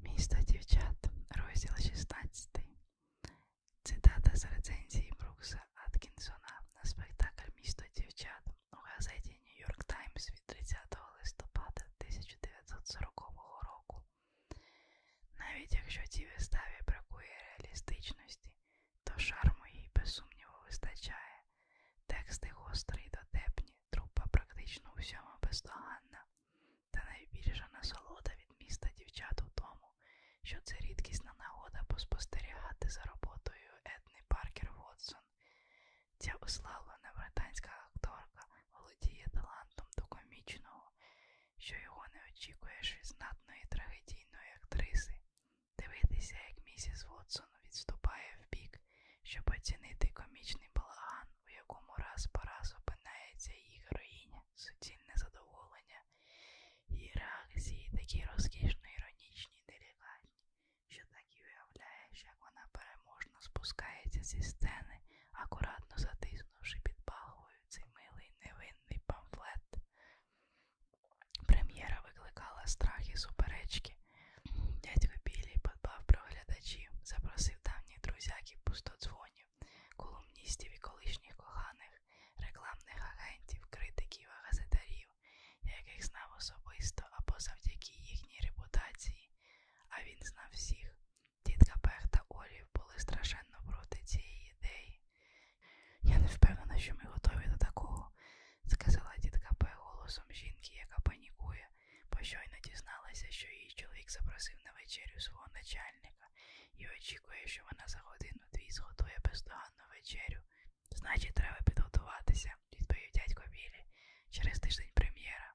Місто дівчат, розділ 16. Цитата з рецензії Брукса Аткінсона на спектакль Місто дівчат у газеті Нью-Йорк Таймс від 30 листопада 1940 року. Навіть якщо цій виставі бракує реалістичності, то шарму їй без сумніву вистачає. Тексти гострі й дотепні, трупа практично у всьому бездоганна. Та найбільша насолода від міста дівчат у тому, що це рідкісна нагода поспостерігати за роботою Етни Паркер Вотсон. Ця уславлена британська акторка володіє талантом до комічного, що його не очікуєш від знатної трагедійної актриси. Дивитися, як місіс Вотсон відступає в бік, щоб оцінити комічний балаган в якому раз по раз опинається її героїня, суцільне задоволення, її реакції такі розкішно іронічні і делікатні, що так і уявляєш, як вона переможно спускається зі сцени, акуратно затиснувши під палубою цей милий невинний памфлет. Прем'єра викликала страх і суперечки. Дядько Білі подбав про глядачів, запросив запросив давніх друзяків пустодзвонів, колумністів і колишніх коханих, рекламних агентів, критиків, а газетарів, яких знав особисто або завдяки їхній репутації, а він знав всіх. Тітка Пех та Олів були страшенно проти цієї ідеї. Я не впевнена, що ми готові до такого, сказала тітка Пех голосом жінки, яка панікує. Пощойно дізналася, що її чоловік запросив на вечерю свого начальника і очікує, що вона за годину дві зготує бездоганну вечерю. Значить, треба підготуватися, відповів дядько Білі, через тиждень прем'єра.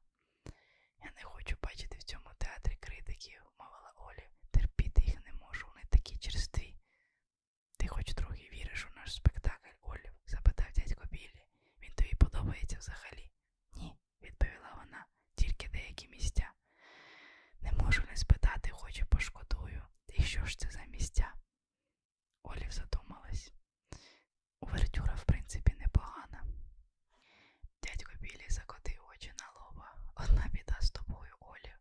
Я не хочу бачити в цьому театрі критиків, мовила Олі. Терпіти їх не можу, вони такі черстві. Ти хоч трохи віриш у наш спектакль, Олів? запитав дядько Білі. Він тобі подобається взагалі? Ні, ні, відповіла вона, тільки деякі місця. Не можу не спитати, хоч і пошкодую. І що ж це за місця? Олів задумалась. Увертюра, в принципі, непогана. Дядько Білі закотив очі на лоба. Одна біда з тобою, Олів.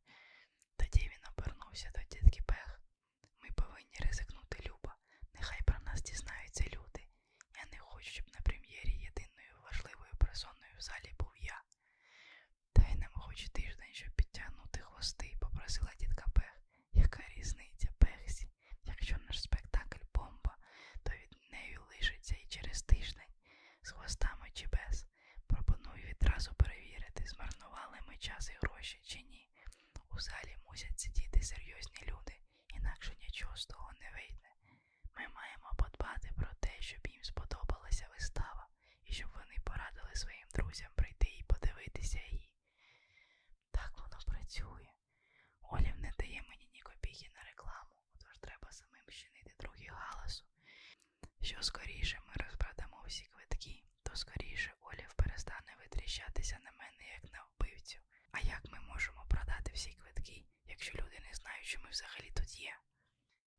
Тоді він обернувся до дітки Пех. Ми повинні ризикнути Люба. Нехай про нас дізнаються люди. Я не хочу, щоб на прем'єрі єдиною важливою персоною в залі був я. Та й нам хоч тиждень, щоб підтягнути хвости, попросила дітка Пех. Яка різниця Пехсі? Якщо наш спектакль бомба, то від неї лишиться і через тиждень з хвостами чи без. Пропоную відразу перевірити, змарнували ми час і гроші чи ні. У залі мусять сидіти серйозні люди, інакше нічого з того не вийде. Ми маємо подбати про те, щоб їм сподобалася вистава, і щоб вони порадили своїм друзям прийти і подивитися її. Так воно працює. Олів не дає мені ні копійки на рекламу, тож треба самим щинити другий галасу. Що скоріше ми розпродамо всі квитки, то скоріше Олів перестане витріщатися на мене, як на вбивців. А як ми можемо продати всі квитки, якщо люди не знають, що ми взагалі тут є?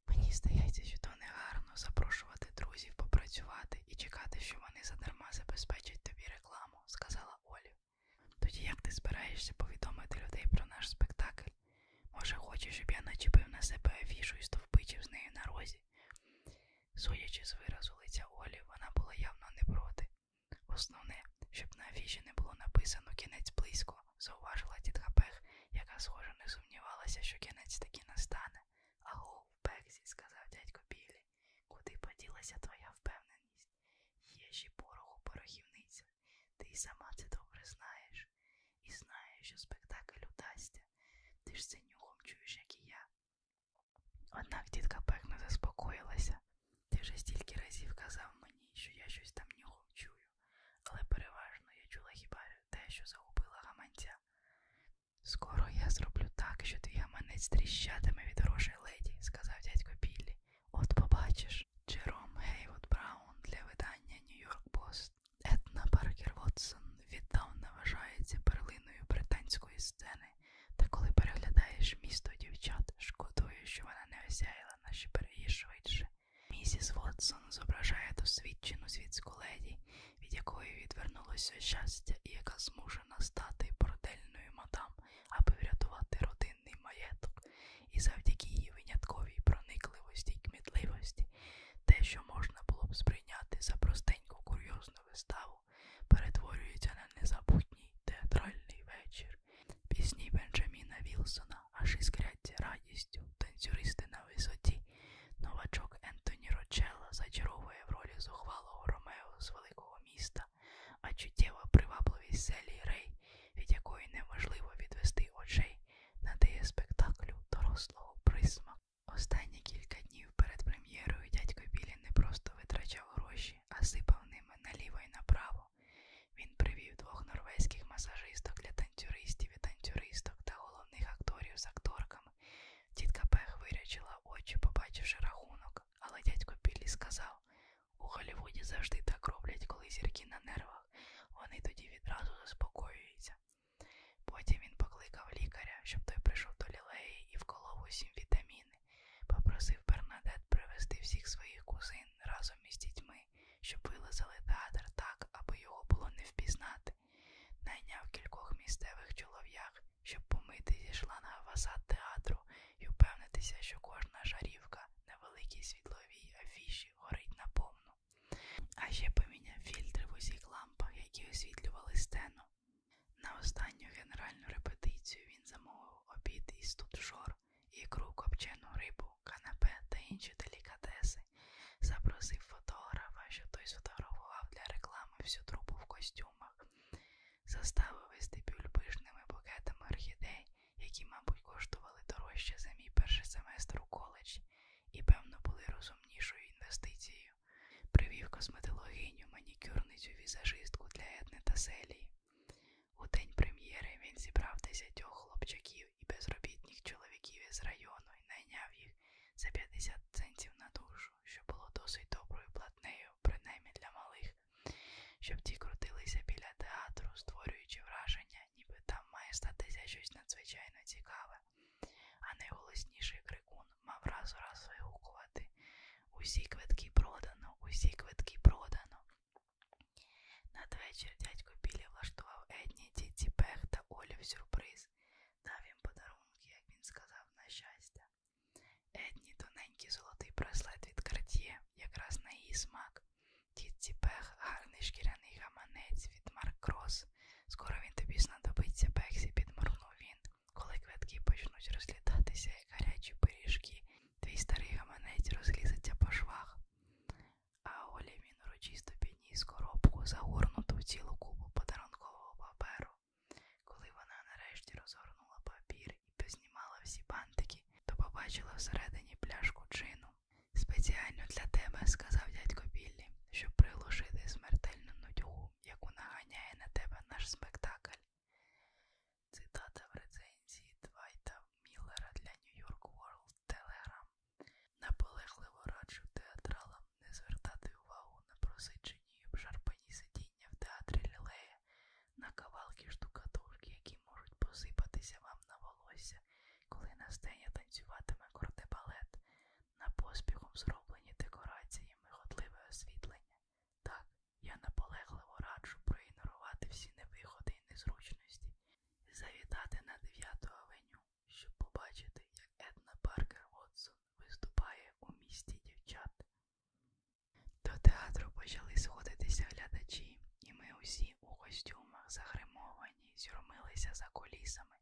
Мені здається, що то негарно запрошувати друзів попрацювати і чекати, що вони задарма забезпечать тобі рекламу, сказала Олі. Тоді як ти збираєшся повідомити людей про наш спектакль? Може, хочеш, щоб я начепив на себе афішу і стовпичив з нею на розі? Судячи з виразу лиця Олі, вона була явно не проти, Основне, щоб на афіші не було написано кінець близько, зауважила тітка Пех, яка схоже не сумнівалася, що кінець таки настане. Агов, Пексі, сказав дядько Білі, куди поділася твоя впевненість? Є ще пороху порохівниця, ти й сама це добре знаєш, і знаєш, що спектакль удасться. Ти ж це нюхом чуєш, як і я. Однак тітка Пех не заспокоїлася. Ти вже стільки разів казав мені, що я щось там нюхав чую, але переважно я чула хіба те, що загубила гаманця. Скоро я зроблю так, що твій гаманець тріщатиме від грошей леді, сказав дядько Біллі. От побачиш, Джером Гейвуд Браун для видання Нью-Йорк Пост. Етна Паркер Вотсон віддавна вважається перлиною британської сцени, та коли переглядаєш місто дівчат, шкодує, що вона не осяяла Елена що переїзд швидше. Місіс Вотсон зображає досвідчену світську леді, від якої відвернулося щастя і яка змушена стати бордельною мадам, аби врятувати родинний маєток, і завдяки її винятковій проникливості й кмітливості, те, що можна було б сприйняти за простеньку курйозну виставу, перетворюється на незабутній театральний вечір вечір. Пісні Бенджаміна Вілсона аж іскрять радістю, танцюристи на висоті. Новачок Ентоні Рочелла зачаровує в ролі зухвалого Ромео з великого міста, а чуттєва привабливість селі Рей, від якої неможливо відвести очей, надає спектаклю дорослого присмаку. Останні кілька днів перед прем'єрою дядько Білі не просто витрачав гроші, а сипав ними наліво і направо. Він привів двох норвезьких масажисток для танцюристів і танцюристок та головних акторів з акторками. Тітка Пех вирячила очі, побачивши рахунок, але дядько Біллі сказав у Голлівуді завжди так роблять, коли зірки на нервах. Вони тоді відразу заспокоюються. Потім він покликав лікаря, щоб той прийшов до лілеї і вколов усім вітаміни попросив Бернадет привезти всіх своїх кузин разом із дітьми, щоб вилазили театр так, аби його було не впізнати, найняв кількох місцевих чолов'як, щоб помити зі шланга фасад театру і впевнитися, що кожна жарівка на великій світловій афіші горить наповну. А ще поміняв фільтри в усіх лампах, які освітлювали сцену. На останню генеральну репетицію він замовив обід із Тутшору ікру копчену рибу, канапе та інші делікатеси. Запросив фотографа, що той сфотографував для реклами всю трупу в костюмах, заставив вестибюль пишними букетами орхідей, які, мабуть, коштували дорожче за мій перший семестр у коледжі і, певно, були розумнішою інвестицією. Привів косметологиню, манікюрницю, візажистку для етни та селії. У день прем'єри він зібрав десятьох хлопчаків і безробітних чоловіків із району і найняв їх за 50 центів на душу, що було досить доброю платнею, принаймні для малих, щоб ті крутилися біля театру, створюючи враження, ніби там має статися щось надзвичайно цікаве. А найголосніший крикун мав раз у раз вигукувати. Усі квитки продано, усі квитки продано. Надвечір дядько Біля влаштував Едні, діті Пех та Олі в сюрприз, дав їм подарунки, як він сказав, на щастя. Едні тоненький золотий браслет від карт'є, якраз на її смак. Тітці Пех, гарний шкіряний гаманець від Марк Крос. Скоро він тобі знадобиться Пексі, підморгнув він, коли квитки почнуть розлітатися, як гарячі пиріжки, Твій старий гаманець розлізеться по швах, а Оля він урочисто підніс коробку, загорнуту в цілу купу подарункового паперу. Коли вона нарешті розгорнула папір і познімала всі бантики, то побачила всередині пляшку чину. Спеціально для тебе, сказав дядько Біллі, щоб приглушити смертельну нудьгу, яку наганяє на тебе наш спектакль. Цитата в рецензії Двайта Міллера для New York World Telegram. Наполегливо раджу театралам не звертати увагу на просичені і обшарпані сидіння в театрі Лілея, на кавалки штукатурки, які можуть посипатися вам на волосся, коли на сцені танцюватиме кортебалет, на поспіхом зроблені декорації, миготливе освітлення. Так, я наполегливо раджу проігнорувати всі невигоди і незручності і завітати на 9 авеню, щоб побачити, як Етна Паркер Вотсон виступає у місті дівчат. До театру почали сходитися глядачі, і ми усі у костюмах загримовані, зюрмилися за кулісами,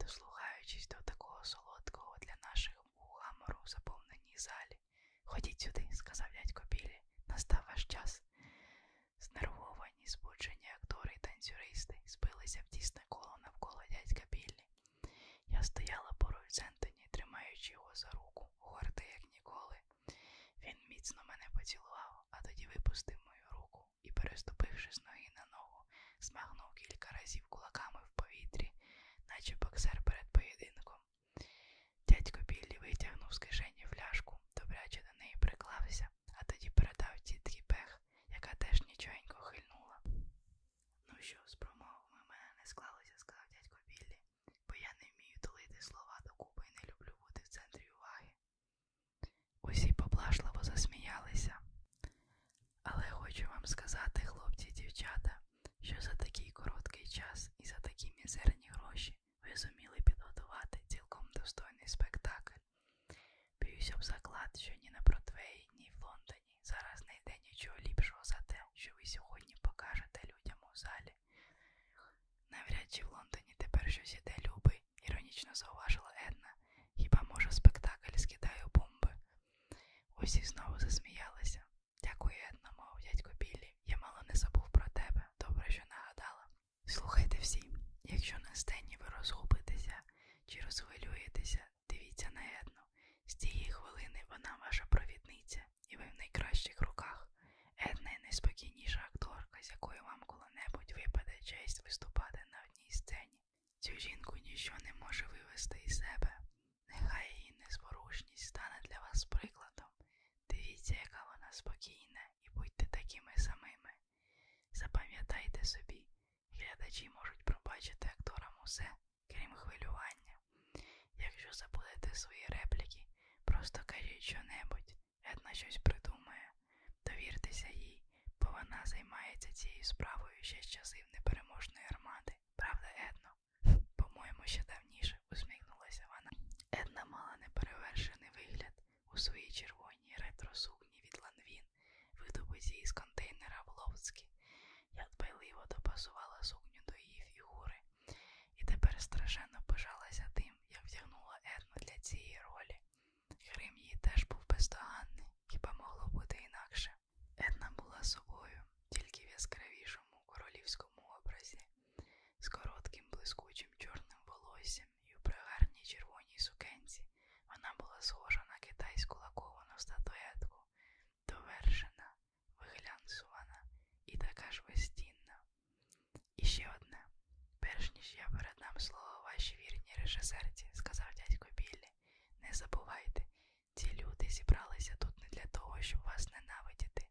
дослухаючись до такого солодкого для наших вух гамору заповненій залі. Ходіть сюди, сказав дядько Білі, настав ваш час. Знервовані, збуджені актори і танцюристи збилися в тісне коло навколо дядька Біллі. Я стояла поруч з Ентоні, тримаючи його за руку, гордий, як ніколи. Він міцно мене поцілував, а тоді випустив мою руку і, переступивши з ноги на ногу, змагнув кілька разів кулаками в повітрі, наче боксер перед поєдинком. Дядько Біллі витягнув з кишені фляжку, добряче до неї приклався, а тоді передав тітки Бех, яка теж нічогенько хильнула. Ну що, з промовами мене не склалося, сказав дядько Біллі, бо я не вмію долити слова докупи і не люблю бути в центрі уваги. Усі поблажливо засміялися. Але хочу вам сказати, хлопці і дівчата, що за такий короткий час і за такі мізерні гроші тричі ви зуміли підготувати цілком достойний спектакль. Б'юся об заклад, що ні на Бродвеї, ні в Лондоні зараз не йде нічого ліпшого за те, що ви сьогодні покажете людям у залі. Навряд чи в Лондоні тепер щось іде любий, іронічно зауважила Една. Хіба може спектакль скидаю бомби? Усі знову засміялися. Дякую, Една, мов дядько Біллі речі, я мало не забув про тебе, добре, що нагадала. Слухайте всі, якщо на сцені ви розгубитеся чи розхвилюєтеся, дивіться на Едну. З цієї хвилини вона ваша провідниця, і ви в найкращих руках. Една найспокійніша акторка, з якою вам коли-небудь випаде честь виступати на одній сцені. Цю жінку ніщо не може вивести із себе. Нехай її незворушність стане для вас прикладом, Дивіться, яка вона спокійна, і будьте такими самими. Запам'ятайте собі, глядачі можуть пробачити акторам усе, крім хвилювання. Якщо забудете свої репліки, просто кажіть що-небудь, Една щось придумає. Довіртеся їй, бо вона займається цією справою ще з часів непереможної армади. Правда, Едно? По-моєму, ще давніше усміхнулася вона. Една мала неперевершений вигляд у своїй червоній ретросукні від ланвін, видобуті із контейнера в Ловцькі. Я дбайливо допасувала сукню до її фігури, і тепер страшенно пишалася тим, як вдягнула Ерну для цієї ролі. Грим її теж був бездоганний, хіба могло бути інакше. Една була собою, тільки в яскравішому королівському образі з коротким блискучим чорним волоссям і в пригарній червоній сукенці. Вона була схожа на китайську лаковану статуетку, довершена, виглянсувана і така ж вестінна. І ще одне, перш ніж я передам слово вашій вірній режисерці, сказав дядько Біллі, не забувайте, ці люди зібралися тут не для того, щоб вас ненавидіти,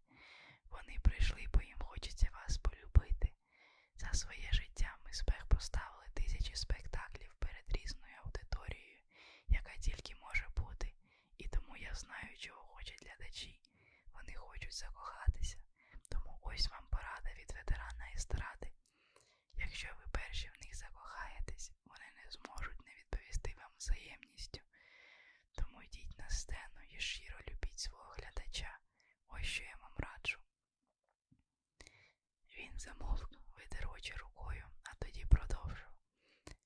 вони прийшли, бо їм хочеться вас полюбити. За своє життя ми спех поставили тисячі спектаклів перед різною аудиторією, яка тільки може бути, і тому я знаю, чого хочуть глядачі. Вони хочуть закохатися. Тому ось вам порада від ветерана естради. Якщо ви перші в них закохаєтесь, вони не зможуть не відповісти вам взаємністю. Тому йдіть на сцену і щиро любіть свого глядача. Ось що я вам раджу. Він замовкнув, витер очі рукою, а тоді продовжив.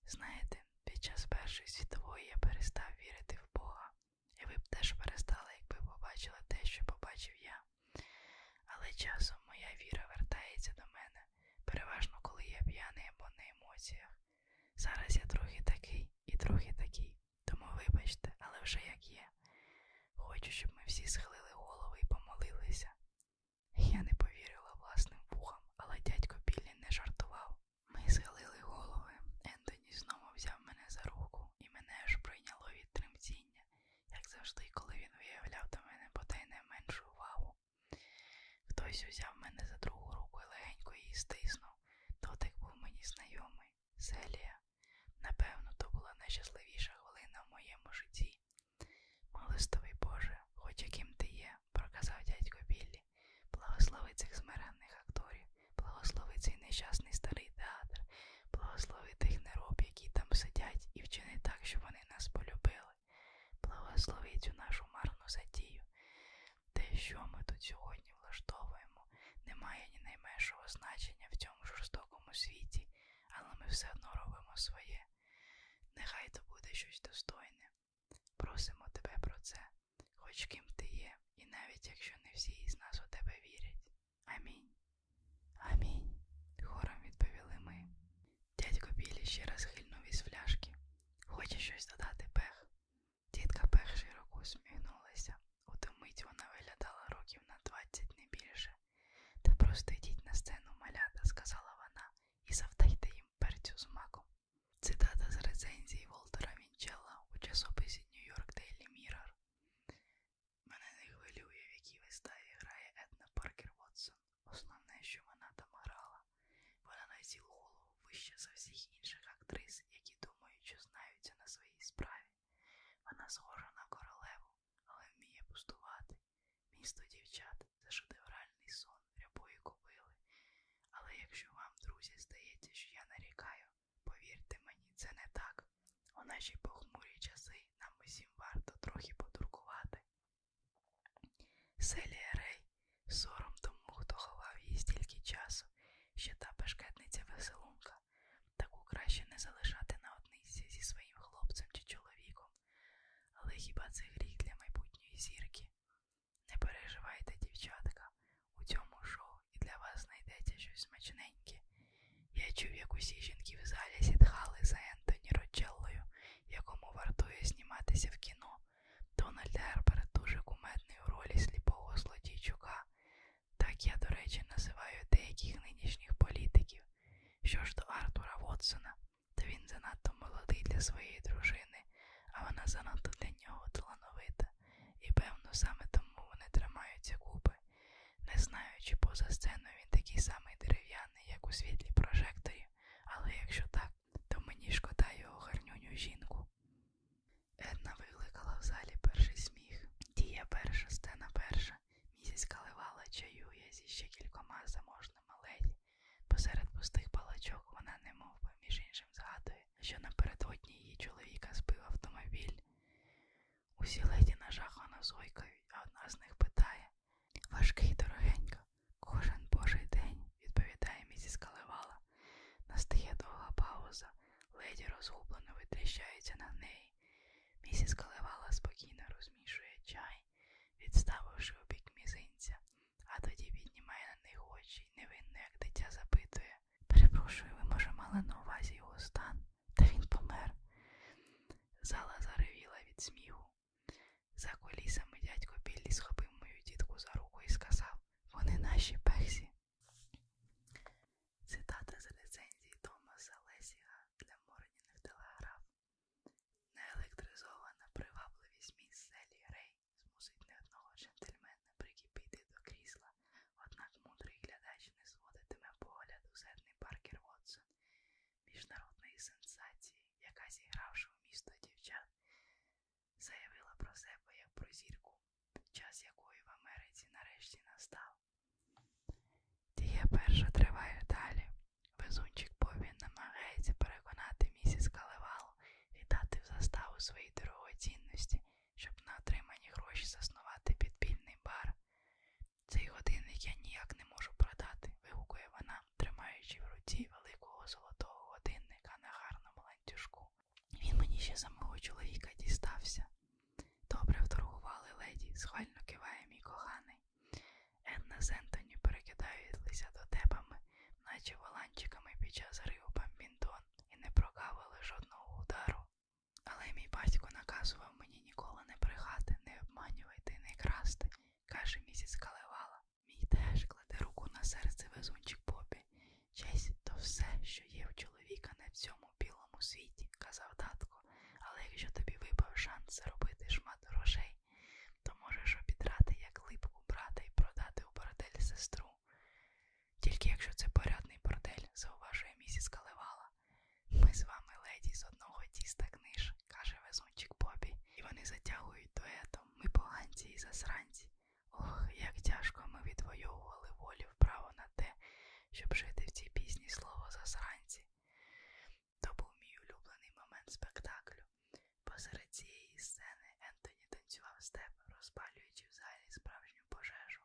Знаєте, під час Першої світової я перестав вірити в Бога, і ви б теж перестали, якби побачили те, що побачив я. Але часом моя віра вертається до мене, переважно коли я п'яний або на емоціях. Зараз я трохи такий, і трохи такий, тому вибачте, але вже як є. Хочу, щоб ми всі схилили голови і помолилися. Я не повірила власним вухам, але дядько Біллі не жартував. Ми схилили голови. Ентоні знову взяв мене за руку, і мене аж прийняло від тремтіння, як завжди, коли він виявляв до мене бодай не меншу увагу. Хтось узяв мене за другу руку і легенько її стиснув дійсно, дотик був мені знайомий, Селія. Напевно, то була найщасливіша хвилина в моєму житті. Милостивий Боже, хоч яким ти є, проказав дядько Біллі, благослови цих змиренних акторів, благослови цей нещасний старий театр, благослови тих нероб, які там сидять, і вчини так, щоб вони нас полюбили, благослови цю нашу марну затію. Те, що ми тут сьогодні влаштовуємо, не має ні найменшого значення в цьому жорстокому світі, але ми все одно робимо своє. Нехай то буде щось достойне. Просимо тебе про це, хоч ким ти є, і навіть якщо не всі із нас у тебе вірять. Амінь. Амінь. Хором відповіли ми. Дядько Білі ще раз хильнув із фляжки. Хоче щось додати, пех. Тітка перш широко усміхнулася. Утомить вона виглядала років на двадцять не більше. Та просто йдіть на сцену малята, сказала вона, і завдайте їм перцю з маком. Цитата з рецензії Волтера Вінчелла у часописі Нью-Йорк Daily Mirror. Мене не хвилює, в якій виставі грає Етна Паркер Вотсон. Основне, що вона там грала. Вона на цілу голову вище за всіх інших актрис, які думають, що знаються на своїй справі. Вона схожа на королеву, але вміє пустувати. Місто дівчат це шедевральний сон рябої купили. Але якщо вам, друзі, здається, що я нарікаю, повірте мені, це не так. У наші похмурі часи нам усім варто трохи потуркувати. Селія Рей Сором тому, хто ховав її стільки часу, що та бешкетниця веселунка, таку краще не залишати наодниці зі своїм хлопцем чи чоловіком. Але хіба це гріх для майбутньої зірки? Не переживайте, дівчатка, у цьому шоу і для вас знайдеться щось смачненьке. Я чув, як усі жінки в залі сітхали за Ентоні Роджеллою, якому вартує зніматися в кіно. Дональд Герберт дуже кумедний у ролі сліпого злодійчука. Так я, до речі, називаю деяких нинішніх політиків. Що ж до Артура Вотсона, то він занадто молодий для своєї дружини, а вона занадто для нього талановита, і, певно, саме тому вони тримаються купи. Не знаю, чи поза сценою він такий самий дерев'яний, як у світлі прожекторі, але якщо так, то мені шкода його гарнюню жінку. Една викликала в залі перший сміх. Дія перша, стена перша. Місяць каливала чаює зі ще кількома заможними леді. Посеред пустих палачок вона немов би між іншим згадує, що напередодні її чоловіка збив автомобіль. Усі леді нажахано зойкають, а одна з них питає Важкий дорогенько, кожен божий день відповідає місіс Калевала. Настає довга пауза, леді розгублено витріщається на неї. Місіс Калевала спокійно розмішує чай, відставивши у бік мізинця, а тоді піднімає на них очі і невинно, як дитя, запитує. Перепрошую, ви, може, мали на увазі його стан, та він помер. Зала заревіла від сміху. За колісами дядько Біллі схопив мою дітку за руку і сказав Вони наші пексі, Цитата з рецензії Томаса Лесіга для Морніних телеграф. Неелектризована привабливість міс Селі Рей змусить не одного джентльмена прикипіти до крісла, однак мудрий глядач не зводитиме погляду зерний Паркер Вотсон, міжнародної сенсації, яка зігравши в місто дівчат, заявила про себе як про зірку, час якої в Америці нарешті настав. Дія перша триває далі. Везунчик Бобі намагається переконати місіс Калевалу віддати в заставу свої дорогоцінності, щоб на отримані гроші заснувати підпільний бар. Цей годинник я ніяк не можу продати, вигукує вона, тримаючи в руці великого золотого годинника на гарному ланцюжку. Він мені ще самого чоловіка дістався. Добре вторгували леді, схвально киває мій коханий. Енна з Ентоні перекидаються дотепами, наче воланчиками під час риву бамбінтон, і не прокавили жодного удару. Але мій батько наказував мені ніколи не брехати, не обманювати, не красти, каже місіс Калевала. Мій теж кладе руку на серце везунчик Бобі. Честь то все, що є в чоловіка на цьому білому світі, казав татко, але якщо тобі випав шанс заробити шмат грошей, то можеш обідрати як липку брата і продати у бордель сестру. Тільки якщо це порядний бордель, зауважує місіс Калевала. Ми з вами леді з одного тіста книж, каже везунчик Бобі, і вони затягують дуетом, ми поганці і засранці. Ох, як тяжко ми відвоювали волі вправо на те, щоб жити в цій пісні слово засранці. То був мій улюблений момент спектаклю. Посеред цієї сцени Ентоні танцював степ, розпалюючи в залі справжню пожежу.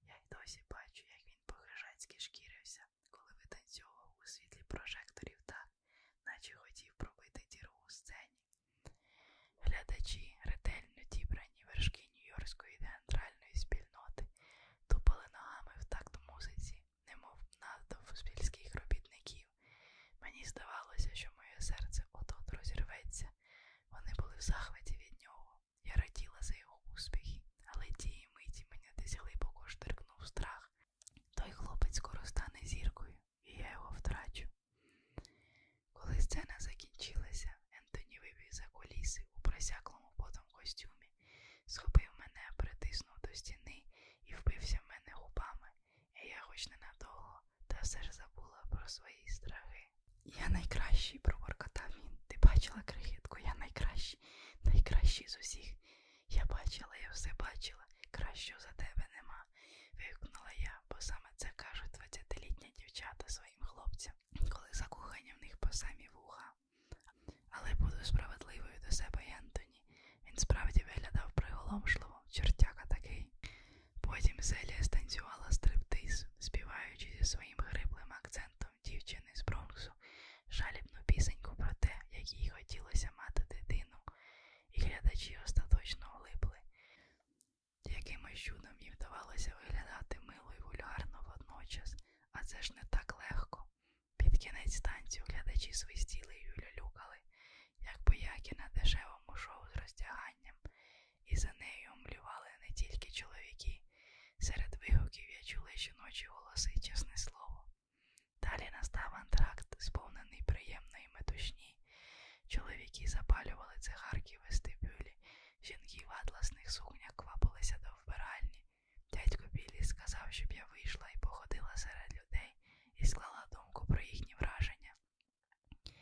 Я й досі бачу, як він по-хижацьки шкірився, коли витанцьовував у світлі прожекторів так, наче хотів пробити діру у сцені. Глядачі, ретельно дібрані вершки Нью-Йоркської театральної спільноти, тупали ногами в такт музиці, немов натовп спільських робітників. Мені здавалося, що моє серце от-от розірветься. Вони були в захваті від нього. Я раділа за його успіхи, але тієї миті мене десь глибоко штрикнув страх. Той хлопець скоро стане зіркою і я його втрачу. Коли сцена закінчилася, Ентоні вибіг за коліси у просяклому потом костюмі, схопив мене, притиснув до стіни і вбився в мене губами, і я хоч ненадовго, та все ж забула про свої страхи. Я найкращий, проборкотав він. Ти бачила крихітку, я найкращий, найкращий з усіх. Я бачила, я все бачила, кращого за тебе нема вигукнула я, бо саме це кажуть двадцятилітні дівчата своїм хлопцям, коли закохання в них по самі вуха. Але буду справедливою до себе, Янтоні. Він справді виглядав приголомшливо, чертяка такий. Потім Зелія станцювала стриптиз, співаючи зі своїм хриплим акцентом дівчини з Бронксу жалібну пісеньку про те, як їй хотілося мати дитину, і глядачі остаточно оглибли. Якимось чудом їм вдавалося виглядати мило і вульгарно водночас, а це ж не так легко. Під кінець станції глядачі свистіли і люлялюкали, як бояки на дешевому шоу з роздяганням, і за нею омлювали не тільки чоловіки. Серед вигуків я чула жіночі голоси, чесне слово. Далі настав антракт, сповнений приємної метушні, Чоловіки запалювали цигарки в вестибюлі, жінки в атласних сукнях квапилися до вбиральні. Дядько Білі сказав, щоб я вийшла і походила серед людей і склала думку про їхні враження.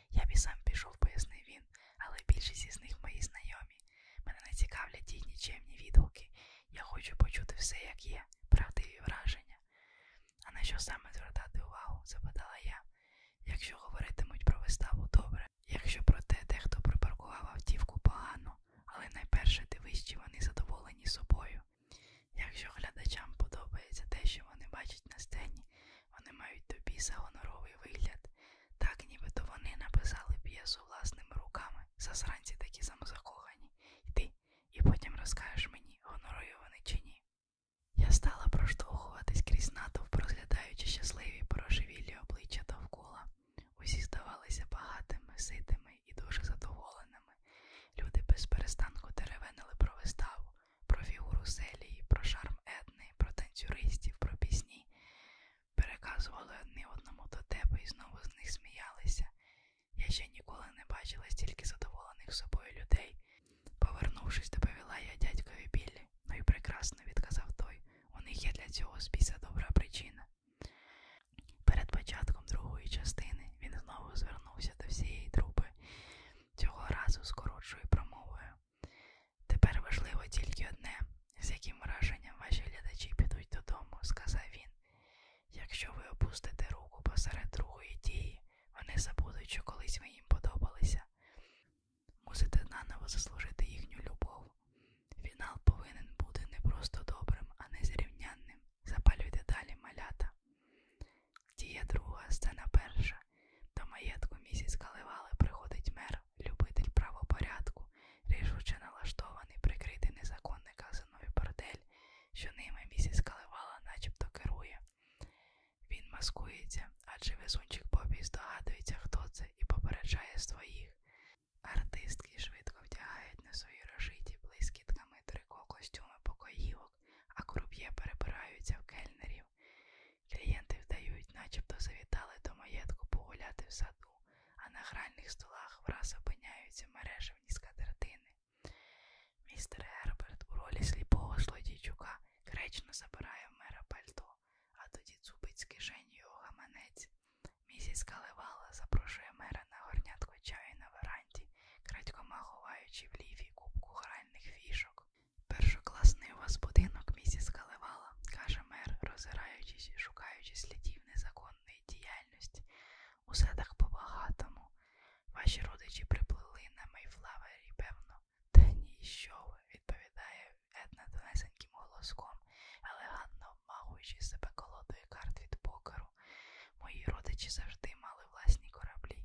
Я б і сам пішов, пояснив він, але більшість із них мої знайомі. Мене не цікавлять їхні чемні відгуки. Я хочу почути все, як є, правдиві враження. А на що саме звертати увагу? запитала я. Якщо говоритимуть про виставу добре, якщо про те, де хто припаркував автівку погано, але найперше дивись, чи вони задоволені собою. Якщо глядачам подобається те, що вони бачать на сцені, вони мають тобі за гоноровий вигляд, так нібито вони написали п'єсу власними руками, засранці такі самозакохані. Йди, і потім розкажеш мені, гонорові вони чи ні. Я стала проштовхуватись крізь натовп, розглядаючи щасливі порожевілі обличчя довкола. Усі здавалися багатими, ситими і дуже задоволеними. Люди без перестанку деревенили про виставу, про фігуру селії, про шарм етни, про танцюристів, про пісні. Переказували одне одному до тебе і знову з них сміялися. Я ще ніколи не бачила стільки задоволених собою людей. Повернувшись, доповіла я дядькові Біллі. Ну і прекрасно, відказав той. У них є для цього спіса добра причина. Перед початком другої частини він знову звернувся до всієї трупи, цього разу з коротшою промовою. Тепер важливо тільки одне, з яким враженням ваші глядачі підуть додому, сказав він. Якщо ви опустите руку посеред другої дії, вони забудуть, що колись ви їм подобалися. Мусите наново заслужити їхню любов. Фінал повинен бути не просто добрим, а незрівнянним. Запалюйте далі малята. Дія друга, сцена перша. До маєтку місяць каливали приходить мер, любитель правопорядку, рішуче налаштований, прикритий незаконний казаної бордель, що ними місяць каливала начебто керує. Він маскується, адже везунчик Бобі здогадується, хто це, і попереджає своїх. Артистки швидко вдягають на свої розжиті блискітками трико костюми покоївок, а круп'є перебираються в кельнерів. Клієнти вдають, начебто завітали до маєтку погуляти в саду, а на гральних столах враз опиняються мережевні скатертини. Містер Герберт у ролі сліпого злодійчука кречно забирає в мера пальто, а тоді цупить з кишені його гаманець. Місіс Каливала запрошує мера на горнятку чаю на веранді, крадькома ховаючи в лівій кубку гральних фішок. Першокласний у вас будинок, місіс Каливала, каже мер, розираючись і шукаючи слідів незаконної діяльності. У садах по багатому. Ваші родичі приплили на Мейфлавері, певно, та ні, що ви, відповідає Една донесеньким голоском, елегантно обмахуючи себе колодою карт від покеру. Мої родичі завжди мали власні кораблі.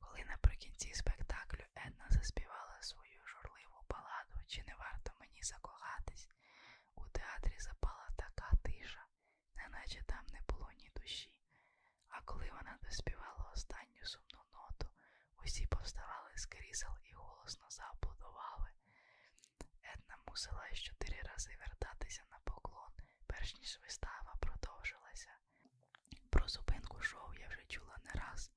Коли наприкінці спектаклю Една заспівала свою журливу баладу, чи не варто мені закохатись, у театрі запала така тиша, неначе там не було ні душі. А коли вона доспівала останню сумну ноту, усі повставали з крісел і голосно зааплодували. Една мусила чотири рази вертатися на поклон, перш ніж вистава продовжилася. Про зупинку шоу я вже чула не раз,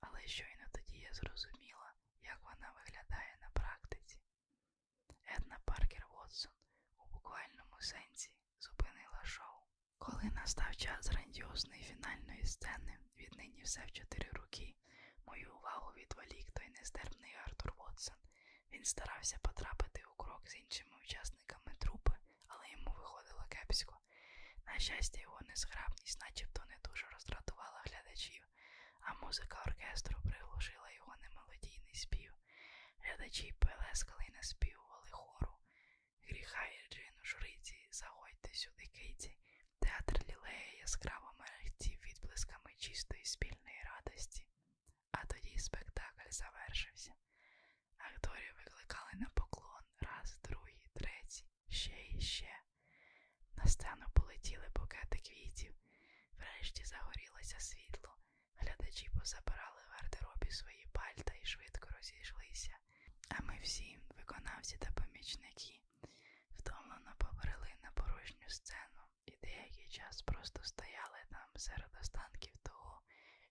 але щойно тоді я зрозуміла, як вона виглядає на практиці. Една Паркер Вотсон у буквальному сенсі зупинила шоу. Коли настав час грандіозної фінальної сцени, віднині все в чотири руки, мою увагу відволік той нестерпний Артур Вотсон. Він старався потрапити у крок з іншими учасниками трупи, але йому виходило кепсько. На щастя, його незграбність начебто не дуже роздратувала глядачів, а музика оркестру приглушила його немелодійний спів. Глядачі пелескали і наспівували хору. Гріха Ірджину, журиці, заходьте сюди, Кейті. Театр лілея яскраво мерехтів відблисками чистої спільної радості. А тоді спектакль завершився. Акторів викликали на поклон раз, другий, третій, ще і ще. На сцену полетіли букети квітів, врешті загорілося світло. Глядачі позабирали в гардеробі свої пальта і швидко розійшлися а ми всі, виконавці та помічники, втомлено побрели на порожню сцену і деякий час просто стояли там серед останків того,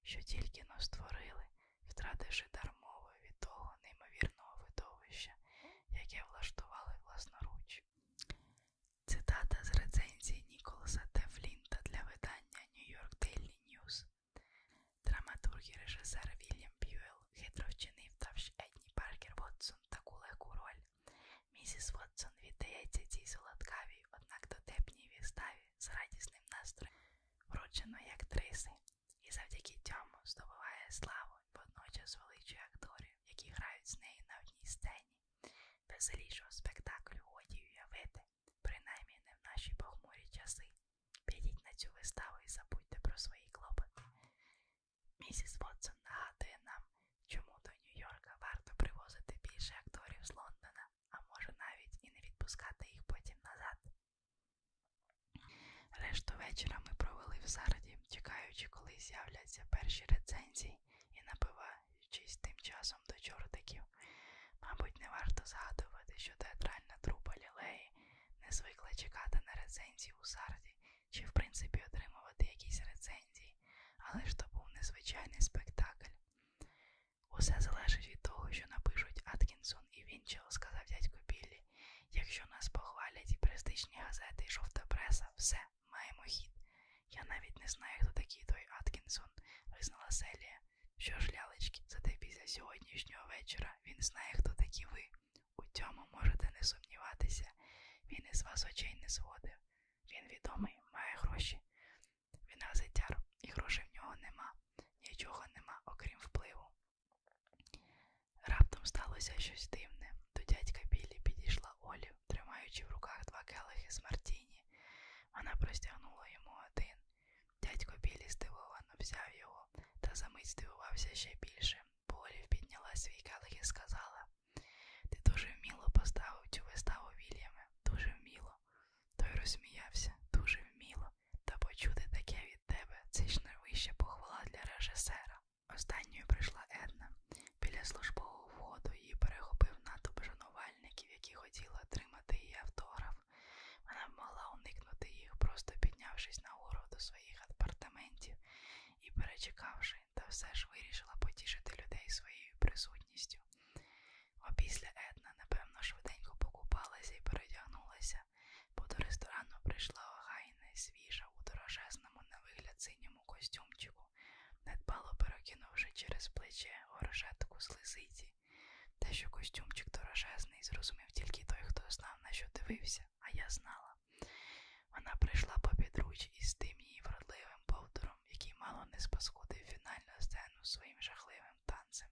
що тільки но створили, втративши дармово від того неймовірного видовища, яке влаштували власноруч. Цитата з рецензії Ніколаса Тефлінта для видання New York Daily News Драматург і режисер Вільям Б'юел хитро вчинив давши Едні Паркер Вотсон таку легку роль. Місіс Вотсон віддається цій солодкавій, однак дотепній віставі з радісним настроєм врученої актриси і завдяки цьому здобуває славу і водночас величує акторів, які грають з нею на одній сцені. Веселішого спектаклю годі уявити. Принаймні не в наші похмурі часи. Підіть на цю виставу і забудьте про свої клопоти. Місіс Вотсон нагадує нам, чому до Нью-Йорка варто привозити більше акторів з Лондона, а може навіть і не відпускати їх потім назад. Решту вечора ми провели в зараді, чекаючи, коли з'являться перші рецензії і набиваючись тим часом до чортиків. Мабуть, не варто згадувати, що театральна трупа лілеї не звикла чекати на рецензії у Сарді чи, в принципі, отримувати якісь рецензії, але ж то був незвичайний спектакль. Усе залежить від того, що напишуть Аткінсон і Вінчел, сказав дядько Біллі. Якщо нас похвалять і престижні газети, і жовта преса, все, маємо хід. Я навіть не знаю, хто такий той Аткінсон, визнала Селія. Що ж, лялечки, зате після сьогоднішнього вечора він знає, хто такі ви. У цьому можете не сумніватися. Він із вас очей не зводив. Він відомий, має гроші. Він газетяр, і грошей в нього нема. Нічого нема, окрім впливу. Раптом сталося щось дивне. До дядька Білі підійшла Олі, тримаючи в руках два келихи з Мартіні. Вона простягнула йому один. Дядько Білі здивовано взяв його та за мить здивувався ще більше. Полів підняла свій келих і сказала Ти дуже вміло поставив цю виставу Вільяме, дуже вміло. Той розсміявся, дуже вміло, та почути таке від тебе це ж найвища похвала для режисера. Останньою прийшла Една. Біля службового входу її перехопив натовп шанувальників, які хотіли отримати її автограф. Вона б могла уникнути їх, просто піднявшись нагору до своїх апартаментів і перечекавши, та все ж вирішила потішити людей своєю присутністю. Опісля Етна, напевно, швиденько покупалася і передягнулася, бо до ресторану прийшла огайна і свіжа у дорожезному на вигляд синьому костюмчику, недбало перекинувши через плече горжетку з лисиці те, що костюмчик дорожезний, зрозумів тільки той, хто знав, на що дивився, а я знала. Вона прийшла по підруч із тим її вродливим повтором, який мало не спаскудив фінальну сцену своїм жахливим танцем.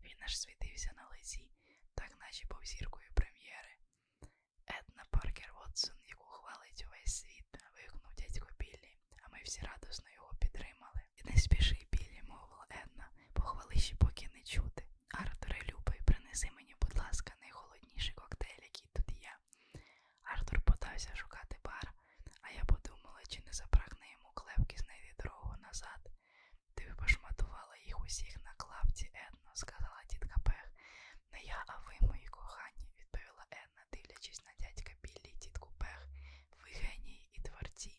Він аж світився на лиці, так наче був зіркою прем'єри. Етна Паркер Вотсон, яку хвалить увесь світ, вигукнув дядько Біллі, а ми всі радосно його підтримали. І не спіши, Біллі, мовила Една, похвали ще поки не чути. Артуре любий, принеси мені, будь ласка, найхолодніший коктейль, який тут є. Артур подався шукати бар, а я подумала, чи не запрагне йому клепки знайти дорогу назад. Ти пошматувала їх усіх на клапці, Едно, сказала тітка Пех. Не я, а ви, мої кохані, відповіла Една, дивлячись на дядька Біллі і тітку Пех. Ви генії і творці.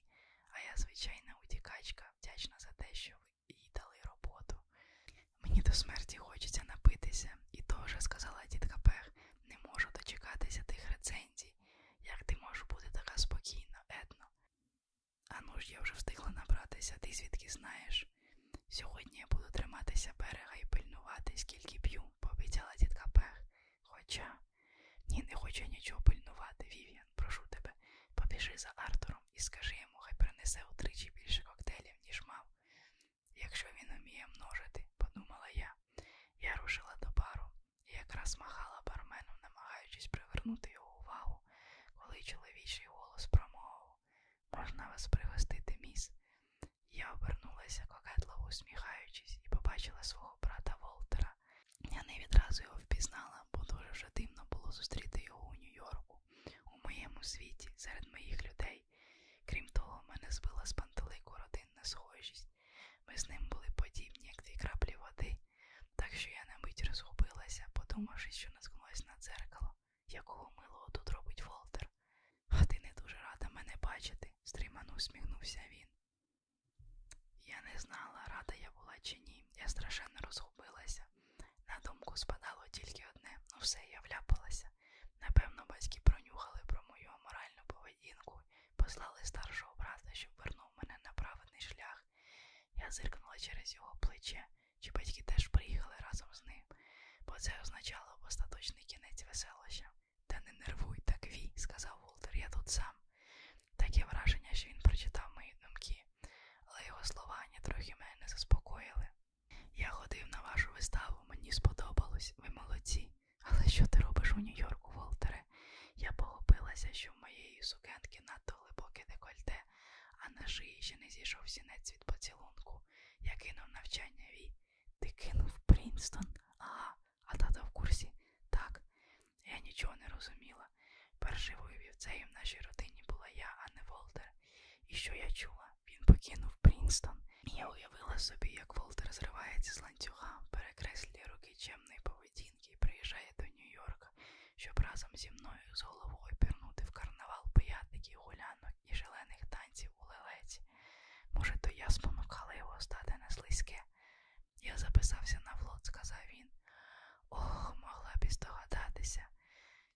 А я звичайна утікачка, вдячна за те, що ви їй дали роботу. Мені до смерті хочеться напитися, і то вже сказала тітка Пех, не можу дочекатися тих рецензій. Як ти можеш бути така спокійна, етно? А ну ж я вже встигла набратися, ти звідки знаєш? Сьогодні я буду триматися берега і пильнувати, скільки п'ю, пообіцяла тітка Пех. Хоча ні, не хочу нічого пильнувати, Вів'ян, прошу тебе. Побіжи за Артуром і скажи йому, хай принесе утричі більше коктейлів, ніж мав. Якщо він уміє множити, подумала я. Я рушила до бару і якраз махала бармену, намагаючись привернути його увагу, коли чоловічий голос промовив Можна вас пригостити, міс? Я обернулася, кокетливо усміхаючись, і побачила свого брата Волтера, я не відразу його впізнала, бо дуже вже дивно було зустріти його у Нью-Йорку, у моєму світі, серед моїх людей. Крім того, мене збила з пантелику родинна схожість. Ми з ним були подібні, як дві краплі води, так що я на мить розгубилася, подумавши, що наткнулась на дзеркало, якого милого тут робить Волтер. А ти не дуже рада мене бачити, стримано усміхнувся він. Я не знала, рада я була чи ні. Я страшенно розгубилася. На думку спадало тільки одне, ну все, я вляпалася. Напевно, батьки пронюхали про мою аморальну поведінку послали старшого брата, щоб вернув мене на праведний шлях. Я зиркнула через його плече, чи батьки теж приїхали разом з ним, бо це означало остаточний кінець веселоща. Та не нервуй, так вій, сказав Волтер, я тут сам. Таке враження, що він прочитав мої думки, але його слова ні трохи мене заспокоїли. Я ходив на вашу виставу, мені сподобалось, ви молодці. Але що ти робиш у Нью-Йорку, Волтере? Я похопилася, що в моєї сукенки надто глибоке декольте, а на шиї ще не зійшов сінець від поцілунку. Я кинув навчання вій. Ти кинув Принстон? Ага, а тата в курсі? Так. Я нічого не розуміла. Першивою вівцею в нашій родині була я, а не Волтер. І що я чула? Він покинув Прінстон. І я уявила собі, як Волтер зривається з ланцюга, перекреслює руки чемної поведінки і приїжджає до Нью-Йорка, щоб разом зі мною з головою пірнути в карнавал пиятників, гулянок і шалених танців у лелеці. Може, то я спонукала його стати на слизьке, я записався на флот, сказав він. Ох, могла б і здогадатися.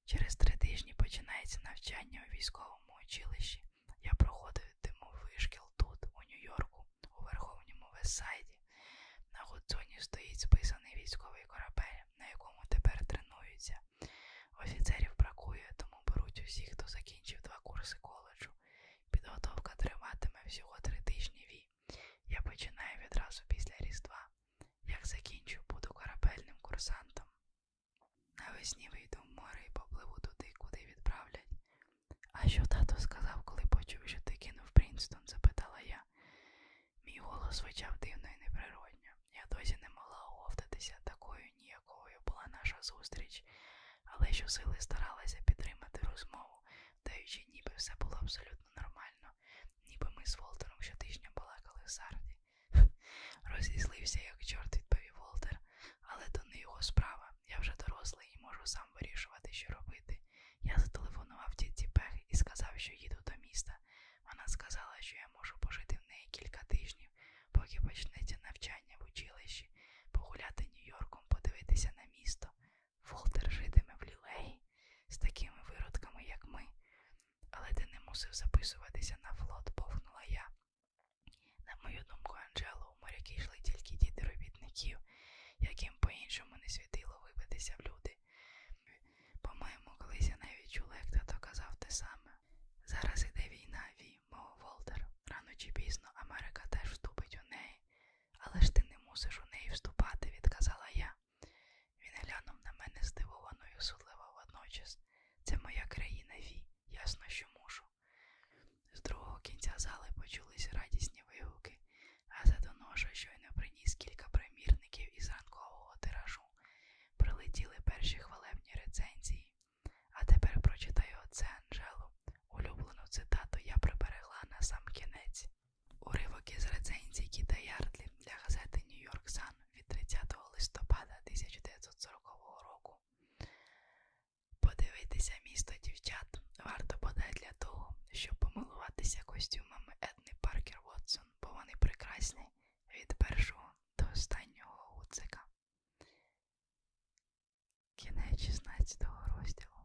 Через три тижні починається навчання у військовому училищі. Я проходив вишкіл тут, у Нью-Йорку, у Верховному Вестсайді. На Гудзоні стоїть списаний військовий корабель, на якому тепер тренуються. Офіцерів бракує, тому беруть усіх, хто закінчив два курси коледжу. Підготовка триватиме всього три тижні війни. Росії. Я починаю відразу після Різдва. Як закінчу, буду корабельним курсантом. Навесні вийду в море і попливу туди, куди відправлять. А що тато сказав, коли почув, що ти кинув Принстон? запитала я. Мій голос звучав дивно і неприродньо. Я досі не могла оговтатися такою ніякою була наша зустріч, але щосили старалася підтримати розмову, даючи, ніби все було абсолютно нормально, ніби ми з Волтером щотижня балакали в сарді. Розізлився, як чорт, відповів Волтер, але то не його справа. Я вже дорослий і можу сам вирішувати, що робити. Я зателефонував тітці Пех і сказав, що їду до міста. Вона сказала, що я можу пожити в неї кілька тижнів, поки почнеться навчання в училищі, погуляти Нью-Йорком, подивитися на місто. Волтер житиме в лілеї з такими виродками, як ми, але ти не мусив записуватися на флот, повнула я. На мою думку, Анджело, у моряки йшли тільки діти робітників, яким по-іншому не світило вибитися в люди. По-моєму, колись я навіть чула, як тато казав те саме. Зараз іде війна, вій, мов Волтер. Рано чи пізно Америка теж вступить у неї. Але ж ти не мусиш у неї вступати, відказала я. Він глянув на мене здивовано і усудливо водночас. Це моя країна, Ві, ясно, що мушу. З другого кінця зали почулись радісні вигуки, а за доноша щойно приніс кілька примірників із ранкового тиражу. Прилетіли перші хвалебні рецензії. А тепер прочитаю оце Анжелу. Улюблену цитату я приберегла на сам кінець. Уривок із рецензії Кіта Ярдлі для газети Нью-Йорк Сан від 30 листопада 1940 року. Подивитися місто дівчат варто бодай для того, щоб помилуватися костюмами Едни Паркер Вотсон, бо вони прекрасні від першого до останнього гудзика. Кінець 16 розділу.